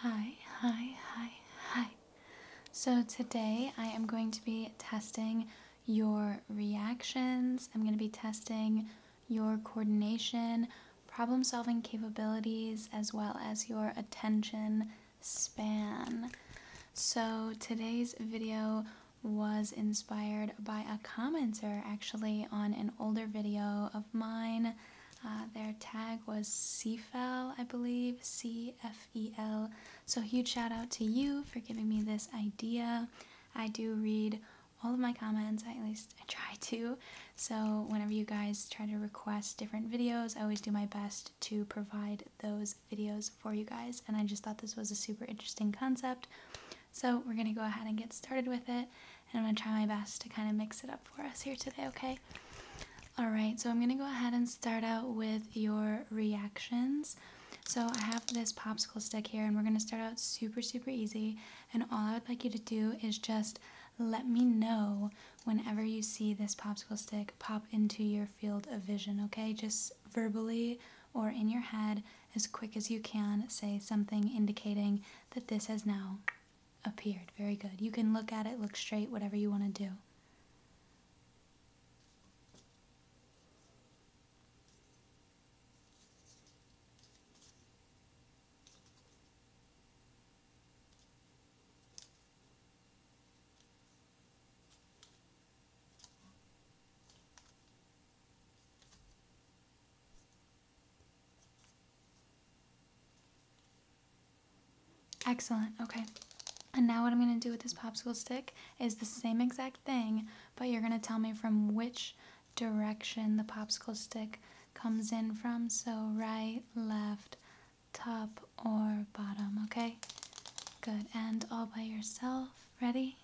Hi, hi, hi, hi. So today I am going to be testing your reactions. I'm going to be testing your coordination, problem solving capabilities, as well as your attention span. So today's video was inspired by a Comments are actually on an older video of mine. Uh, their tag was CFEL, I believe, C F E L. So, huge shout out to you for giving me this idea. I do read all of my comments, at least I try to. So, whenever you guys try to request different videos, I always do my best to provide those videos for you guys. And I just thought this was a super interesting concept. So we're gonna go ahead and get started with it, and I'm gonna try my best to kind of mix it up for us here today, okay? All right, so I'm gonna go ahead and start out with your reactions. So I have this popsicle stick here, and we're gonna start out super, super easy, and all I would like you to do is just let me know whenever you see this popsicle stick pop into your field of vision, okay? Just verbally or in your head, as quick as you can say something indicating that this has now appeared. Very good. You can look at it, look straight, whatever you want to do. Excellent, okay. And now what I'm gonna do with this popsicle stick is the same exact thing, but you're gonna tell me from which direction the popsicle stick comes in from. So right, left, top, or bottom, okay? Good, and all by yourself, ready?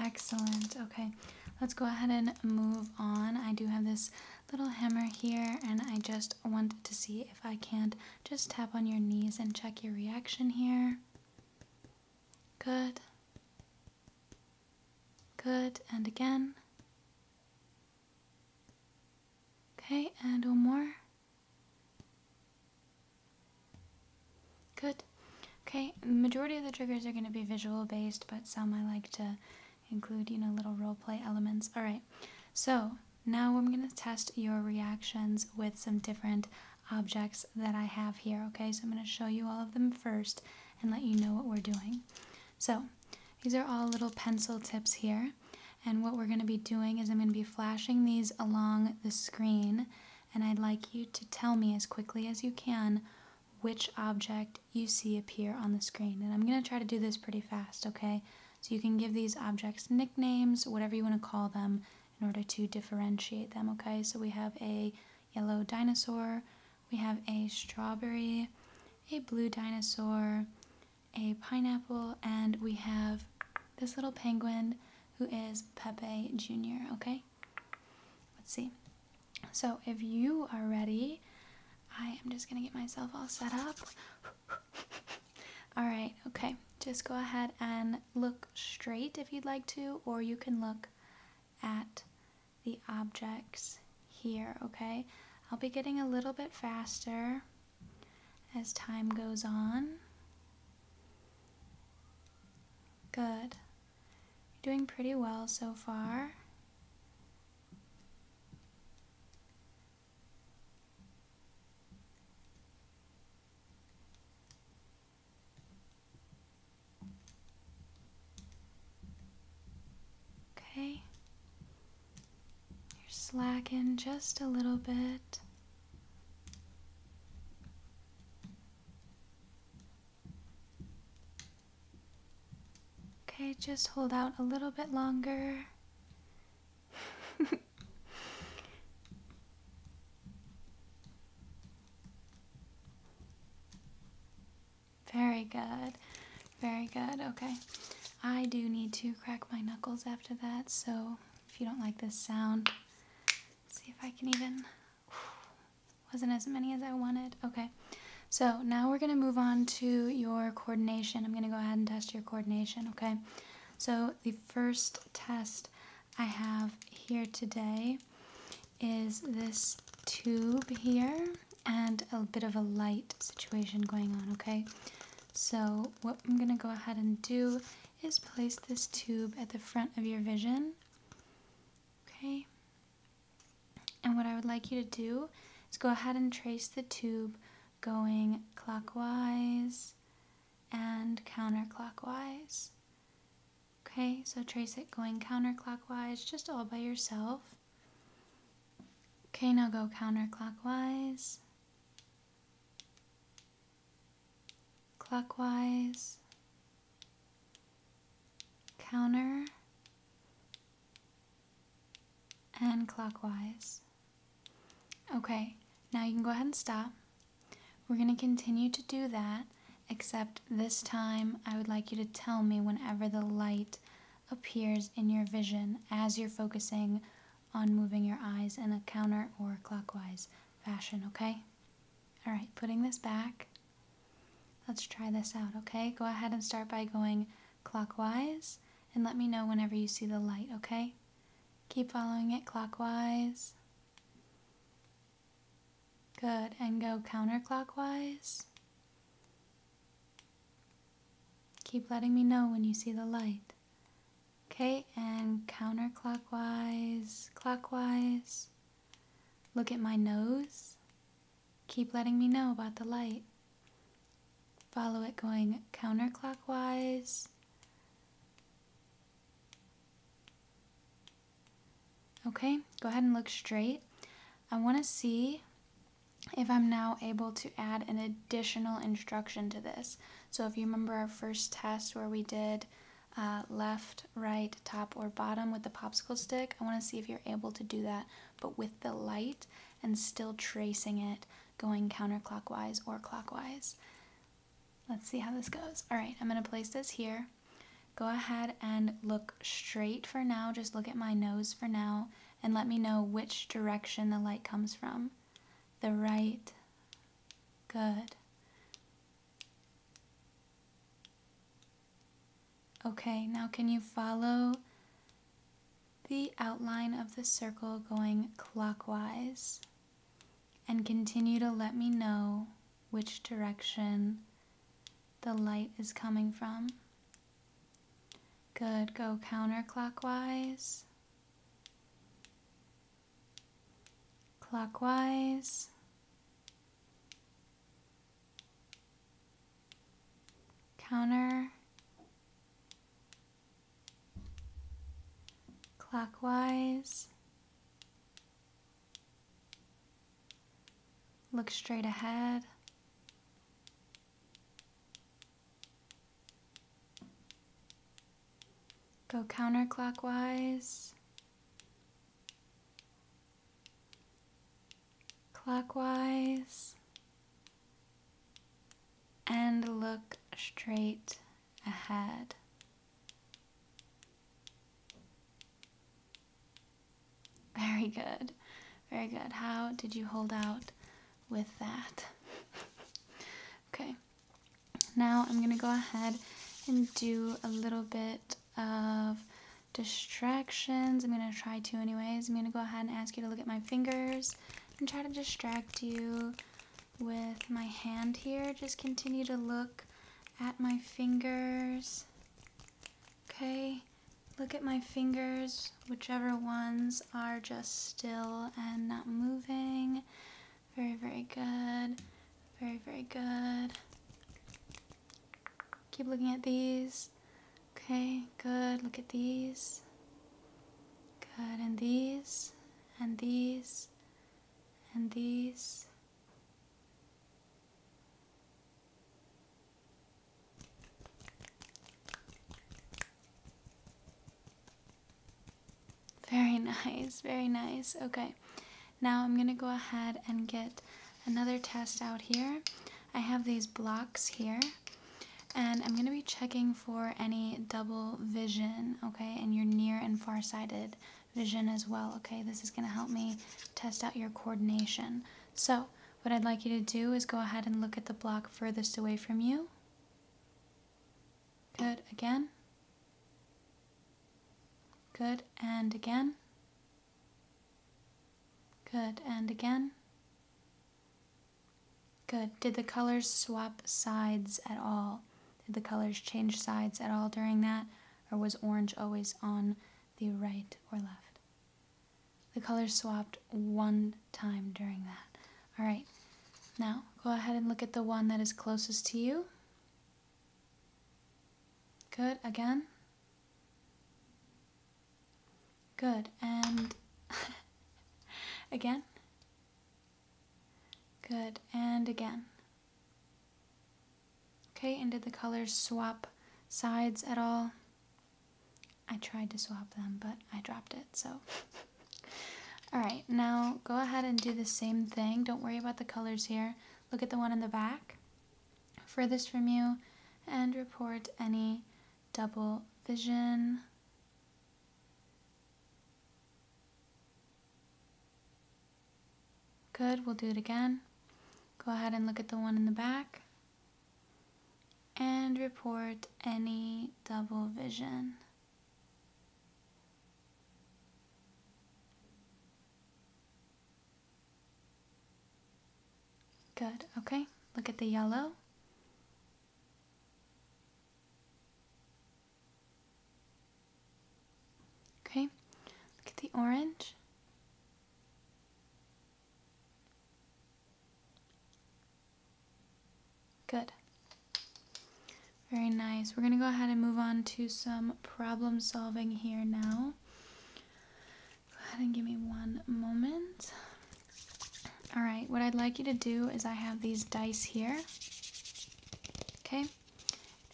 Excellent. Okay, let's go ahead and move on. I do have this little hammer here, and I just want to see if I can't just tap on your knees and check your reaction here. Good. Good. And again. Okay, and one more. Good. Okay, the majority of the triggers are going to be visual based, but some I like to include, you know, little role play elements. All right, so now I'm going to test your reactions with some different objects that I have here. Okay, so I'm going to show you all of them first and let you know what we're doing. So these are all little pencil tips here. And what we're going to be doing is I'm going to be flashing these along the screen. And I'd like you to tell me as quickly as you can which object you see appear on the screen. And I'm going to try to do this pretty fast, okay? So you can give these objects nicknames, whatever you want to call them, in order to differentiate them, okay? So we have a yellow dinosaur, we have a strawberry, a blue dinosaur, a pineapple, and we have this little penguin who is Pepe Jr., okay? Let's see. So if you are ready, I am just gonna get myself all set up. all right, okay. Just go ahead and look straight if you'd like to, or you can look at the objects here, okay? I'll be getting a little bit faster as time goes on. Good. You're doing pretty well so far. Okay. You're slacking just a little bit. Okay, just hold out a little bit longer. Very good. Very good. Okay. I do need to crack my knuckles after that, so if you don't like this sound, see if I can even. Wasn't as many as I wanted. Okay. So now we're going to move on to your coordination. I'm going to go ahead and test your coordination, okay? So the first test I have here today is this tube here and a bit of a light situation going on, okay? So what I'm going to go ahead and do is place this tube at the front of your vision, okay? And what I would like you to do is go ahead and trace the tube going clockwise and counterclockwise. Okay, so trace it going counterclockwise just all by yourself. Okay, now go counterclockwise, clockwise, counter, and clockwise. Okay, now you can go ahead and stop. We're going to continue to do that, except this time I would like you to tell me whenever the light appears in your vision as you're focusing on moving your eyes in a counter or clockwise fashion, okay? All right, putting this back. Let's try this out, okay? Go ahead and start by going clockwise and let me know whenever you see the light, okay? Keep following it clockwise. Good, and go counterclockwise. Keep letting me know when you see the light. Okay, and counterclockwise, clockwise. Look at my nose. Keep letting me know about the light. Follow it going counterclockwise. Okay, go ahead and look straight. I want to see if I'm now able to add an additional instruction to this. So if you remember our first test where we did uh, left, right, top, or bottom with the popsicle stick, I want to see if you're able to do that, but with the light and still tracing it going counterclockwise or clockwise. Let's see how this goes. All right, I'm going to place this here. Go ahead and look straight for now. Just look at my nose for now and let me know which direction the light comes from. The right. Good. Okay, now can you follow the outline of the circle going clockwise? And continue to let me know which direction the light is coming from. Good, go counterclockwise. Clockwise. Counter. Clockwise. Look straight ahead. Go counterclockwise. Clockwise. And look straight ahead. Very good. Very good. How did you hold out with that? okay. Now I'm going to go ahead and do a little bit of distractions. I'm going to try to anyways. I'm going to go ahead and ask you to look at my fingers and try to distract you with my hand here. Just continue to look at my fingers. Okay, look at my fingers, whichever ones are just still and not moving. Very, very good. Very, very good. Keep looking at these. Okay, good. Look at these. Good. And these. And these. And these. Very nice, very nice. Okay, now I'm gonna go ahead and get another test out here. I have these blocks here and I'm gonna be checking for any double vision, okay, and your near and far-sighted vision as well, okay? This is gonna help me test out your coordination. So what I'd like you to do is go ahead and look at the block furthest away from you. Good, again. Good, and again. Good, and again. Good. Did the colors swap sides at all? Did the colors change sides at all during that? Or was orange always on the right or left? The colors swapped one time during that. All right, now go ahead and look at the one that is closest to you. Good, again. Good, and again. Good, and again. Okay, and did the colors swap sides at all? I tried to swap them, but I dropped it, so. Alright, now go ahead and do the same thing. Don't worry about the colors here. Look at the one in the back, furthest from you, and report any double vision. Good, we'll do it again. Go ahead and look at the one in the back, and report any double vision. Good, okay. Look at the yellow. Okay, look at the orange. Good. Very nice. We're going to go ahead and move on to some problem solving here now. Go ahead and give me one moment. All right, what I'd like you to do is I have these dice here. Okay.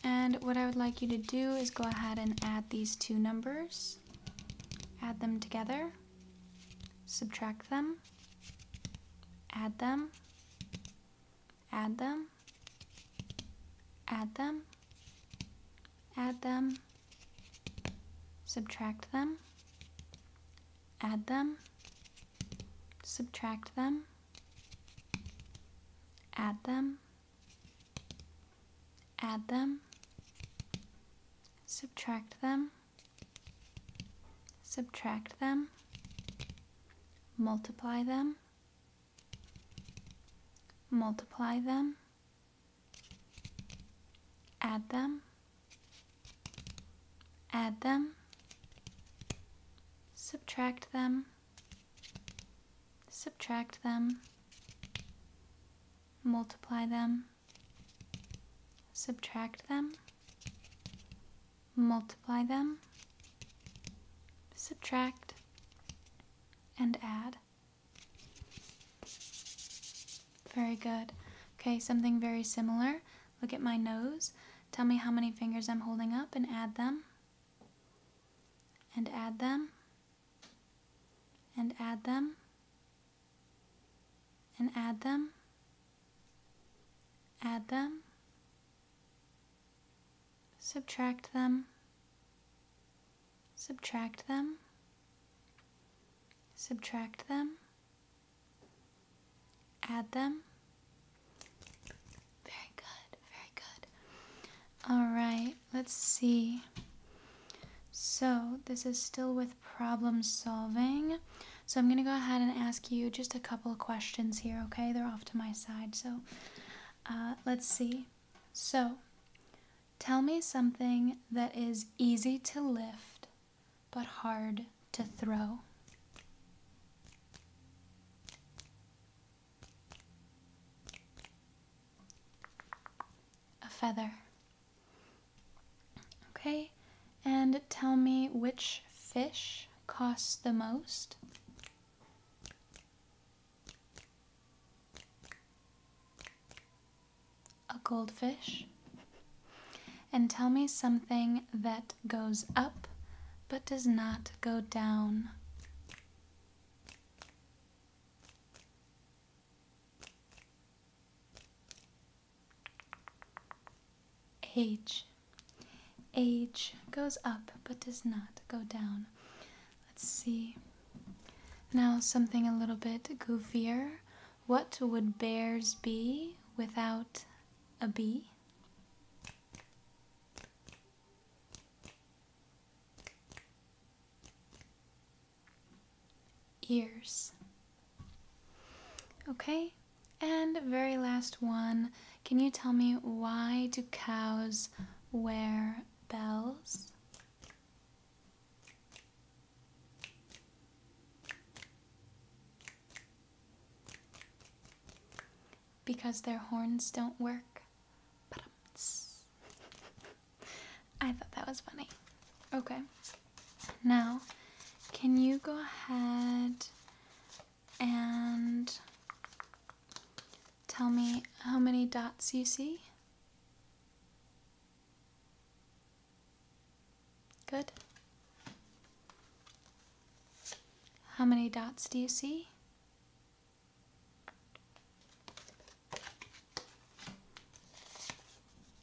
And what I would like you to do is go ahead and add these two numbers numbers, add them together, subtract them, add them, add them, add them, add them, subtract them, add them, subtract them, add them, add them, subtract them, subtract them, multiply them, multiply them, add them, add them, subtract them, subtract them, multiply them, subtract them, multiply them, subtract, and add. Very good. Okay, something very similar. Look at my nose. Tell me how many fingers I'm holding up and add them. And add them and add them and add them, add them, subtract them, subtract them, subtract them, add them. Very good, very good. All right, let's see. So this is still with problem solving. So I'm gonna go ahead and ask you just a couple of questions here, okay? They're off to my side, so uh, let's see. So tell me something that is easy to lift but hard to throw a feather. Okay, and tell me which fish costs the most. A goldfish. And tell me something that goes up but does not go down. Age. Age goes up but does not go down. Let's see. Now, something a little bit goofier. What would bears be without a bee? ears. Okay, and very last one. Can you tell me why do cows wear bells? Because their horns don't work. I thought that was funny. Okay. Now, can you go ahead and tell me how many dots you see? Good. How many dots do you see?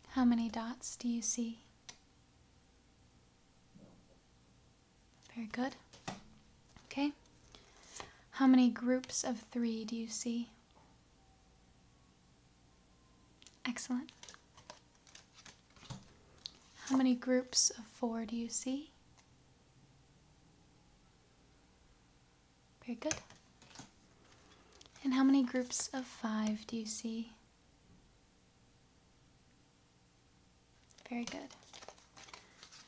How many dots do you see? Very good. Okay. How many groups of three do you see? Excellent. How many groups of four do you see? Very good. And how many groups of five do you see? Very good.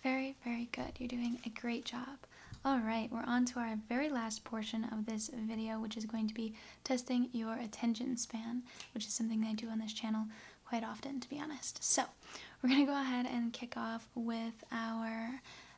Very, very good. You're doing a great job. All right, we're on to our very last portion of this video, which is going to be testing your attention span, which is something I do on this channel quite often, to be honest. So, we're going to go ahead and kick off with our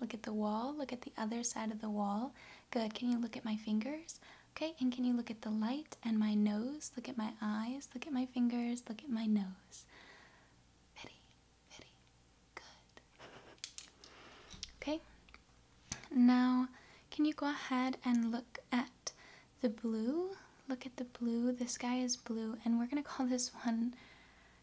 Look at the wall. Look at the other side of the wall. Good. Can you look at my fingers? Okay. And can you look at the light and my nose? Look at my eyes. Look at my fingers. Look at my nose. good. Okay. Now, can you go ahead and look at the blue? Look at the blue. The sky is blue. And we're going to call this one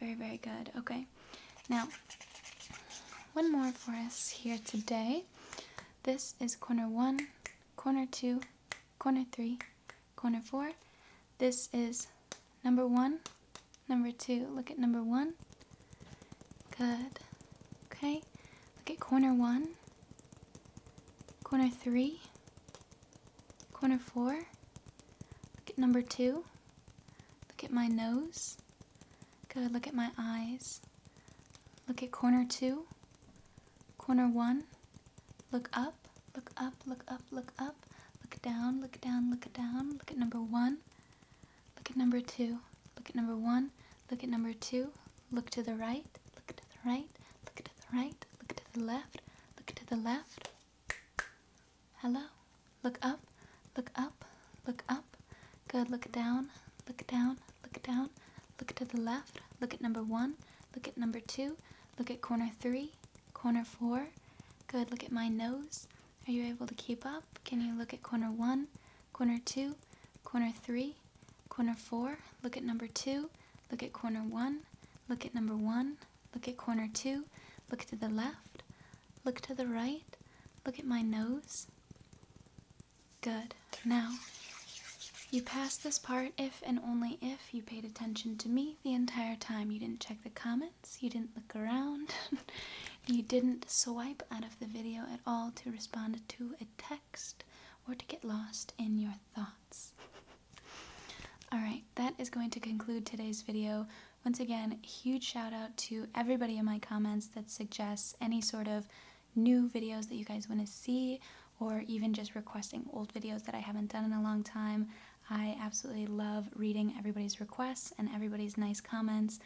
Very, very good. Okay. Now, one more for us here today. This is corner one, corner two, corner three, corner four. This is number one, number two. Look at number one. Good. Okay. Look at corner one, corner three, corner four, Look at number two. Look at my nose. Good. Look at my eyes. Look at corner two. Corner one. Look up. Look up. Look up. Look up. Look down. Look down. Look down. Look at number one. Look at number two. Look at number one. Look at number two. Look to the right. Look to the right. Look to the right. Look to the left. Look to the left. Hello. Look up. Look up. Look up. Good. Look down. Look down. Look down. Look to the left. Look at number one. Look at number two. Look at corner three. Corner four. Good. Look at my nose. Are you able to keep up? Can you look at corner one, corner two, corner three, corner four? Look at number two. Look at corner one. Look at number one. Look at corner two. Look to the left. Look to the right. Look at my nose. Good. Now, you passed this part if and only if you paid attention to me the entire time. You didn't check the comments. You didn't look around. you didn't swipe out of the video at all to respond to a text or to get lost in your thoughts. Alright, that is going to conclude today's video. Once again, huge shout out to everybody in my comments that suggests any sort of new videos that you guys want to see or even just requesting old videos that I haven't done in a long time. I absolutely love reading everybody's requests and everybody's nice comments.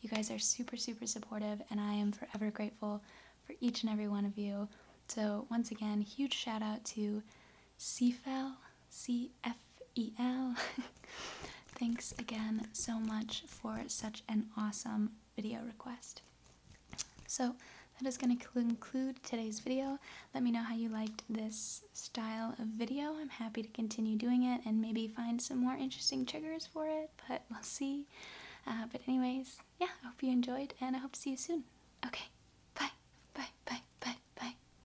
You guys are super, super supportive, and I am forever grateful for each and every one of you. So, once again, huge shout out to Cfel, C-F-E-L. Thanks again so much for such an awesome video request. So that is going to conclude today's video. Let me know how you liked this style of video. I'm happy to continue doing it and maybe find some more interesting triggers for it, but we'll see. Uh, but anyways, yeah, I hope you enjoyed and I hope to see you soon. Okay, bye, bye, bye, bye, bye.